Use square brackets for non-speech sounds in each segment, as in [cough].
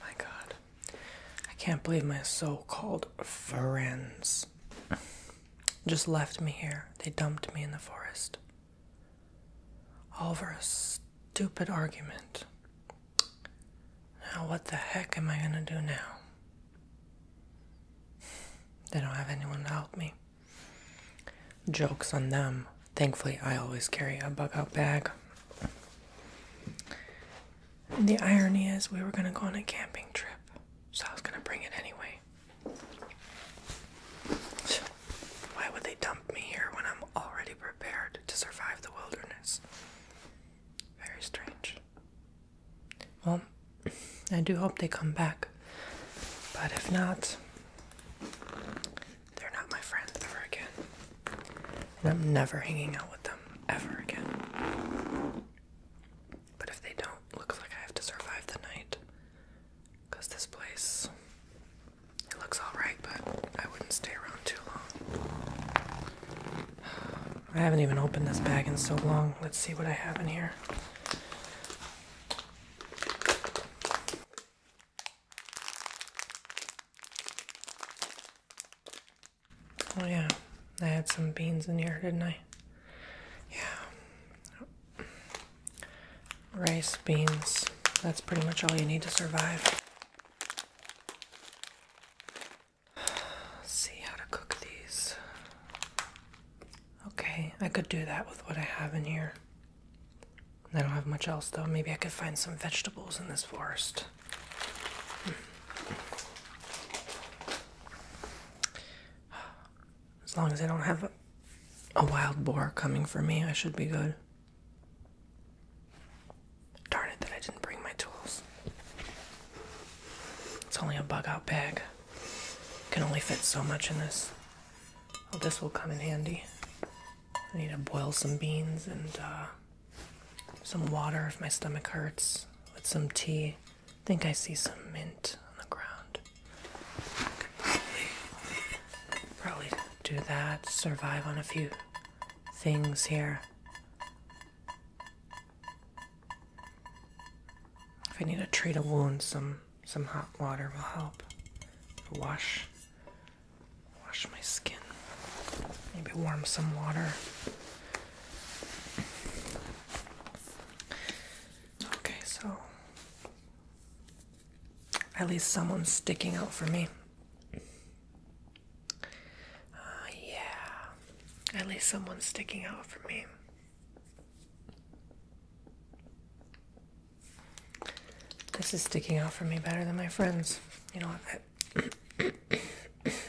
My god. I can't believe my so called friends just left me here. They dumped me in the forest. All for a stupid argument. Now, what the heck am I gonna do now? They don't have anyone to help me. Joke's on them. Thankfully, I always carry a bug out bag. the irony is, we were going to go on a camping trip, so I was going to bring it anyway. Why would they dump me here when I'm already prepared to survive the wilderness? Very strange. Well, I do hope they come back, but if not, they're not my friends ever again. And I'm never hanging out with them ever again. But if they don't, looks like I have to survive the night. Because this place, it looks alright, but I wouldn't stay around too long. [sighs] I haven't even opened this bag in so long. Let's see what I have in here. Oh yeah, I had some beans in here, didn't I? Yeah. Rice, beans, that's pretty much all you need to survive. see how to cook these. Okay, I could do that with what I have in here. I don't have much else though. Maybe I could find some vegetables in this forest. [sighs] As long as I don't have a, wild boar coming for me, I should be good. Darn it that I didn't bring my tools. It's only a bug out bag. Can only fit so much in this. Oh, this will come in handy. I need to boil some beans and uh, some water if my stomach hurts with some tea. I think I see some mint on the ground. probably, probably do that, survive on a few things here. If I need to treat a wound, some some hot water will help. Wash Wash my skin. Maybe warm some water. Okay, so at least someone's sticking out for me. Uh, yeah, at least someone's sticking out for me. This is sticking out for me better than my friends. You know what? I, [coughs]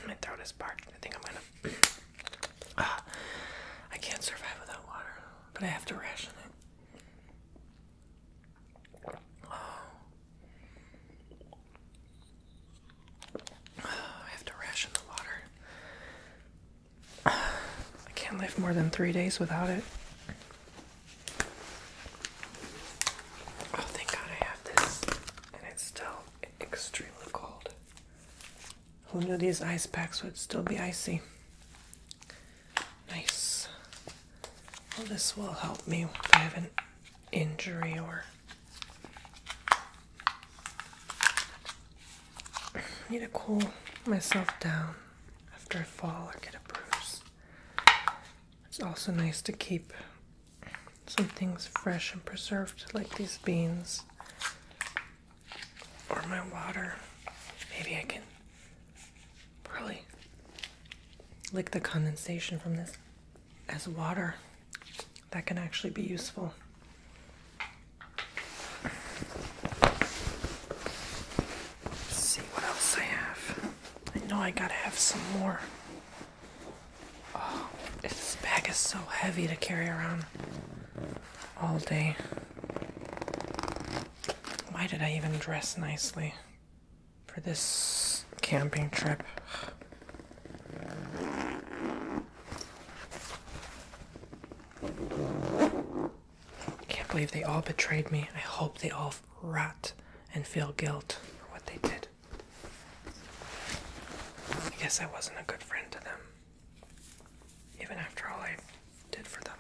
my throat is parched. I think I'm gonna. Uh, I can't survive without water, but I have to ration it. Oh. I have to ration the water. I can't live more than three days without it. Oh, thank God I have this. And it's still extremely cold. Who knew these ice packs would still be icy? Nice. Well, this will help me if I have an injury or. I need to cool myself down after I fall or get a bruise. It's also nice to keep some things fresh and preserved, like these beans or my water. Maybe I can really lick the condensation from this as water. That can actually be useful. Let's see what else I have. I know I gotta have some more. Oh, this bag is so heavy to carry around all day. Why did I even dress nicely for this camping trip? I can't believe they all betrayed me. I hope they all rot and feel guilt for what they did. I guess I wasn't a good friend to them, even after all I did for them.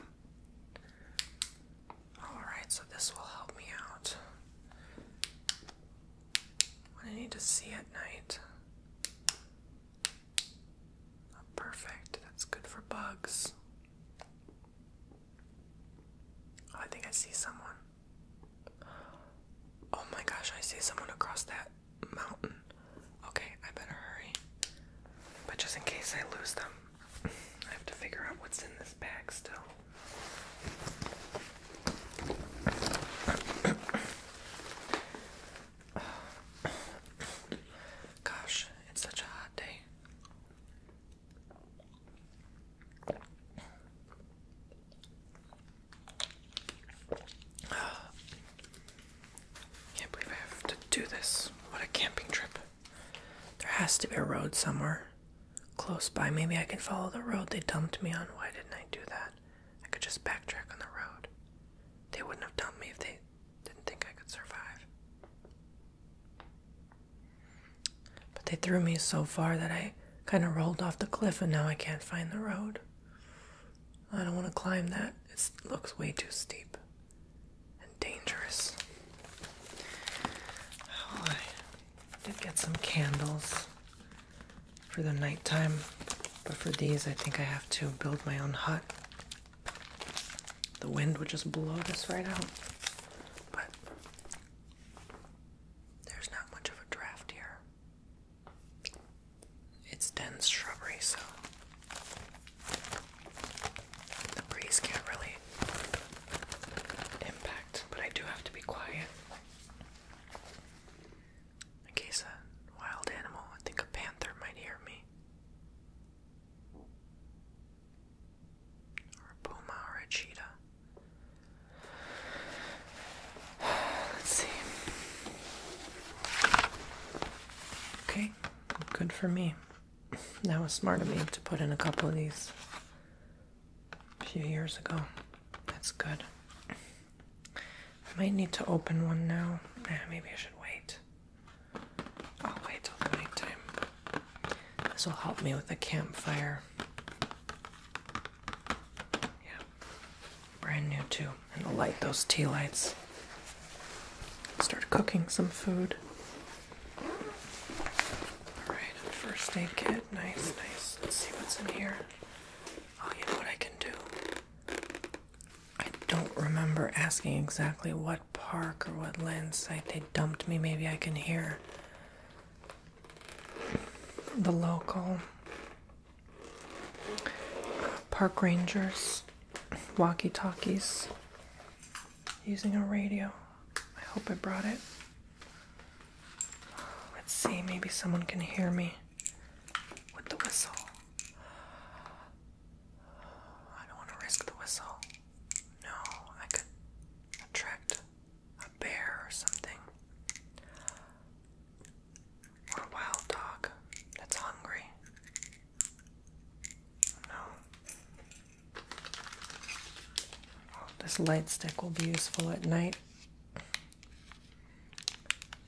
Alright, so this will help me out. What I need to see at night. perfect, that's good for bugs. I think I see someone. Oh my gosh, I see someone across that mountain. Okay, I better hurry. But just in case I lose them, I have to figure out what's in this bag still. [sighs] Gosh, it's such a hot day. Can't believe I have to do this. What a camping trip. There has to be a road somewhere close by. Maybe I can follow the road they dumped me on. Why didn't I do that? I could just backtrack on the road. They wouldn't have dumped me if they didn't think I could survive. But they threw me so far that I kind of rolled off the cliff and now I can't find the road. I don't want to climb that. It looks way too steep and dangerous. Oh, I did get some candles for the nighttime, but for these, I think I have to build my own hut. The wind would just blow this right out. But there's not much of a draft here. It's dense shrubbery, so the breeze can't really impact, but I do have to be quiet. In case a wild animal, I think a panther might hear me. Or a puma or a cheetah. Let's see. Okay, good for me. That was smart of me to put in a couple of these a few years ago. That's good. I might need to open one now. Eh, maybe I should wait. I'll wait till nighttime. This will help me with the campfire. Yeah. Brand new too. And I'll light those tea lights. Start cooking some food. Alright, first aid kit. Nice, nice. Let's see what's in here. Oh, you know what I can do? I don't remember asking exactly what park or what land site they dumped me. Maybe I can hear the local park rangers, walkie talkies, using a radio. I hope I brought it. Let's see, maybe someone can hear me with the whistle. I don't want to risk the whistle. No, I could attract a bear or something. Or a wild dog that's hungry. No. Oh, this light stick will be useful at night.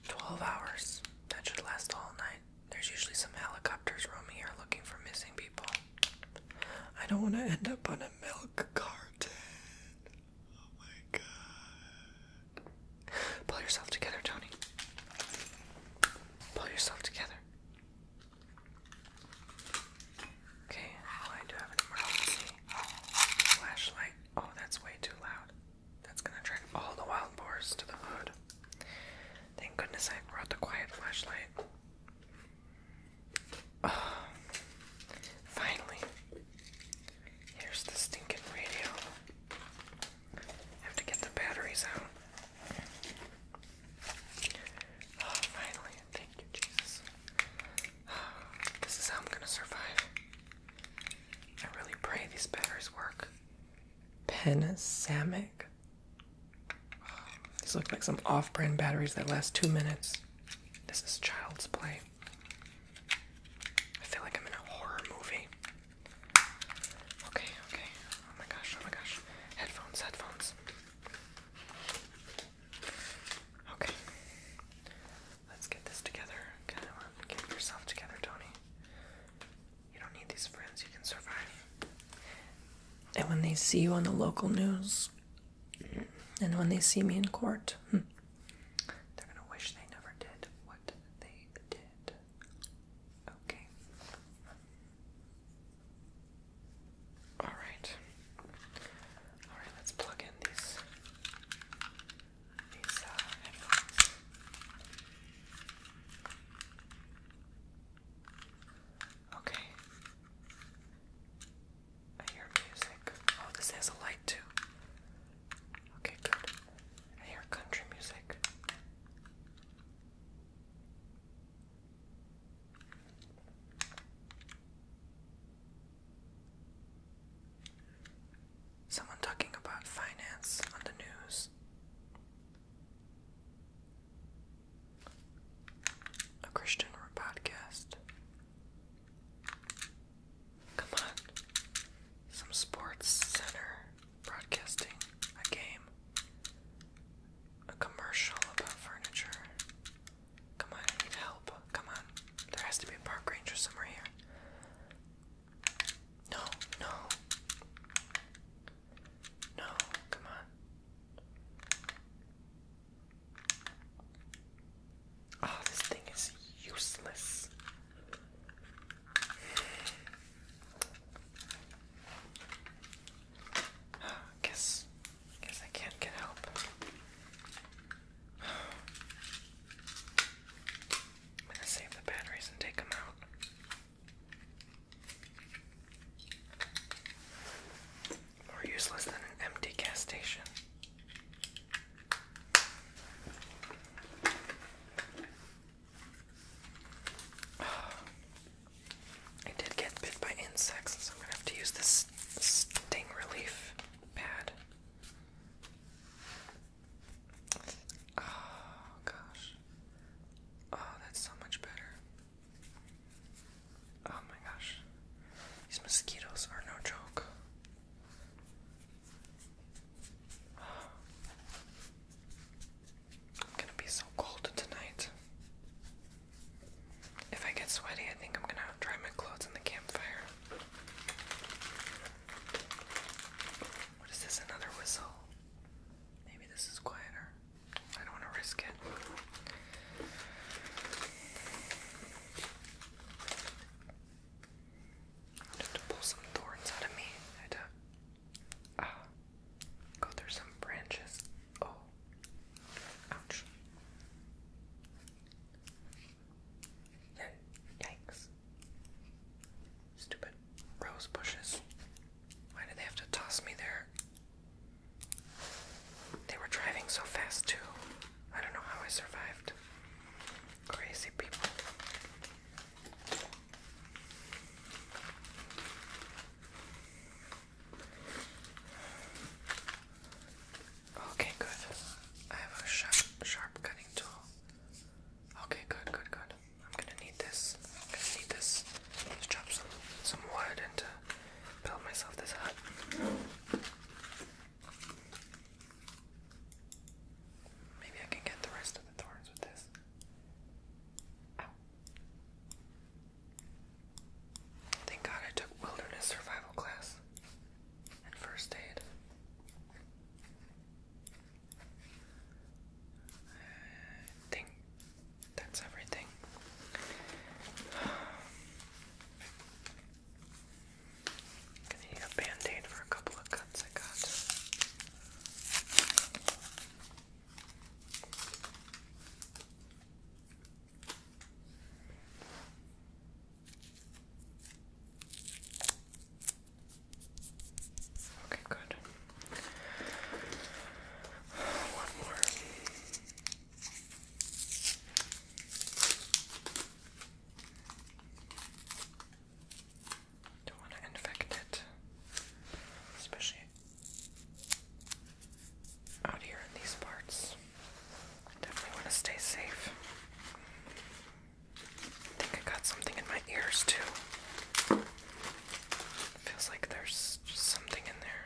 12 hours. That should last all night. There's usually some helicopters roaming here looking for missing people. I don't want to end up on a milk carton. Oh my god. Pull yourself together, Tony. Pull yourself together. Okay, well, I do have an emergency flashlight. Oh, that's way too loud. That's gonna attract all the wild boars to the hood. Thank goodness I brought the quiet flashlight. finally. Here's the stinking radio. I have to get the batteries out. finally. Thank you, Jesus. this is how I'm gonna survive. I really pray these batteries work. Panasamic. These look like some off brand batteries that last two minutes. This is child's play. I feel like I'm in a horror movie. Okay, okay. Oh my gosh, oh my gosh. Headphones, headphones. Okay. Let's get this together. Get yourself together, Tony. You don't need these friends, you can survive. And when they see you on the local news, and when they see me in court, hmm, they're gonna wish they never did what they did. Okay. Alright. Alright, let's plug in these these uh, headphones. Okay. I hear music. Oh, this has a light too. Okay, good. I hear country music. Someone talking about finance on the news. A Christian podcast. Come on. Some sports center broadcasting a game. A commercial about furniture. Come on, I need help. Come on. There has to be a park ranger somewhere here. No, no. No, come on. Oh, this thing is useless. [sighs] guess, guess I can't get help. [sighs] I'm gonna save the batteries and take them out. More useless than an empty gas station. I did get bit by insects, so I'm gonna have to use this sting relief pad. Oh gosh. Oh, that's so much better. Oh my gosh. These mosquitoes are no joke. I'm gonna be so cold tonight. If I get sweaty, I think I'm gonna dry my clothes in the campfire. What is this? Another whistle? Maybe this is quieter. I don't want to risk it. I have to pull some thorns out of me. I had to uh, ah, go through some branches. Oh, ouch. Yikes stupid rose bushes. Why did they have to toss me there? They were driving so fast, too. I don't know how I survived. Crazy people. Okay, good. I have a sharp, sharp cutting tool. Okay, good, good, good. I'm gonna need this. I'm gonna need this to chop some some wood and to uh, build myself this hut. Maybe I can get the rest of the thorns with this. Ow. Thank God I took wilderness survival class and first aid. I think that's everything. gonna need a band for a couple of cuts I got. Okay, good. One more. Don't want to infect it, especially out here in these parts. definitely want to stay safe. I think I got something in my ears too. Feels like there's something in there.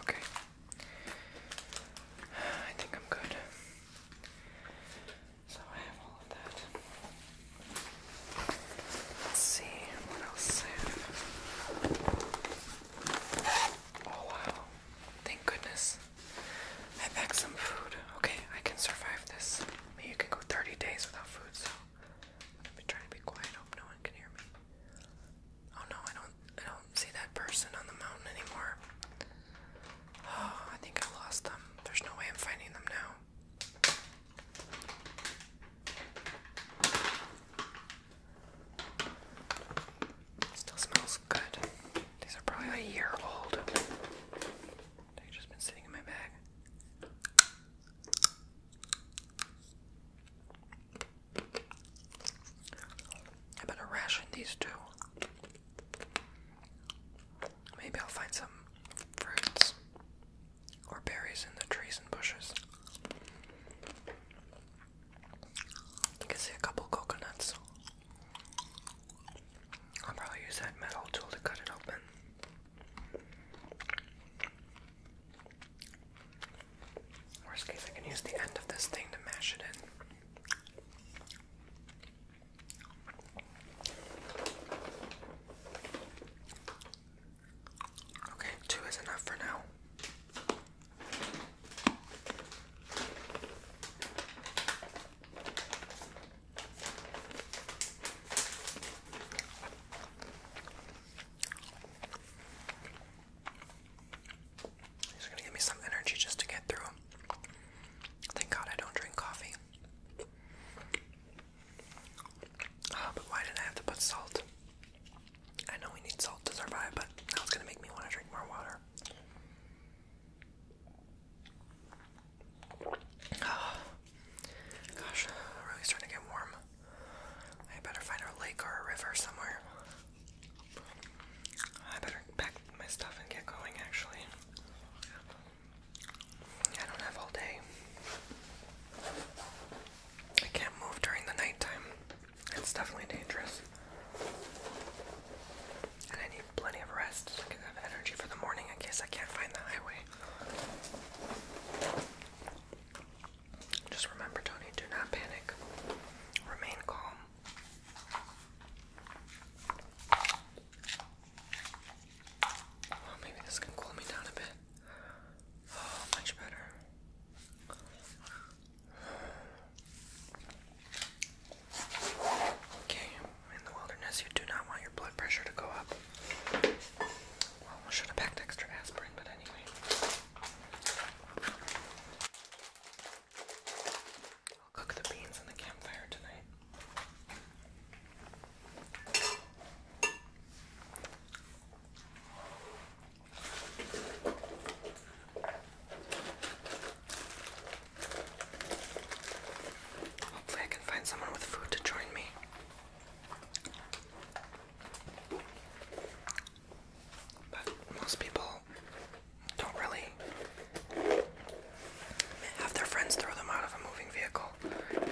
Okay. I think I'm good. So I have all of that. Let's see what else I have. Oh wow. Thank goodness. I packed some food. Okay, I can survive this. I mean, you can go 30 days without food, I've trying to be quiet. hope no one can hear me. Oh no, I don't. I don't see that person on the mountain anymore. [sighs] I think I lost them. There's no way I'm finding them now. Still smells good. These are probably a year old. They've just been sitting in my bag. I better ration these two. Maybe I'll find some fruits or berries in the trees and bushes. I can see a couple coconuts. I'll probably use that metal tool to cut it open. Worst case, I can use the end of this thing to mash it in. Okay, two is enough for now. It's gonna give me some energy just to get through. Thank God I don't drink coffee. Ah, but why did I have to put salt? I know we need salt to survive, but now gonna make me want to drink more water. Oh, gosh, I'm really starting to get warm. I better find a lake or a river somewhere. I better pack my stuff and get going, actually. I don't have all day. I can't move during the nighttime. It's definitely dangerous. And I need plenty of rest so have energy for the morning in case I can't find the highway. Just remember, Tony, do not panic. Remain calm. Well, maybe this can cool me down a bit. Oh, much better. Okay, in the wilderness, you do not want your blood pressure to go up. Well, should have packed extra aspirin, but anyway. I'll cook the beans in the campfire tonight. Hopefully, I can find someone with food to join me. But most people don't really have their friends throw them out of a moving vehicle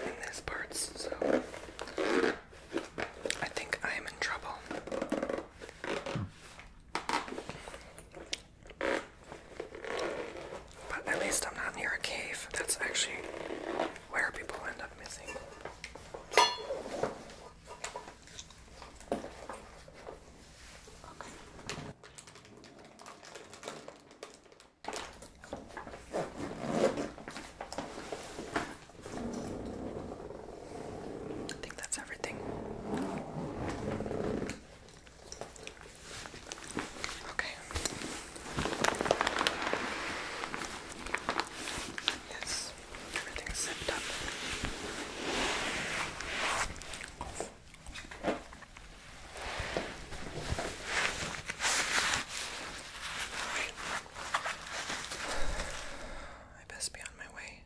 in these parts, so I think I am in trouble. Hmm. But at least I'm not near a cave. That's actually where people end up missing. I think that's everything. Okay. Yes, everything's zipped up. I best be on my way.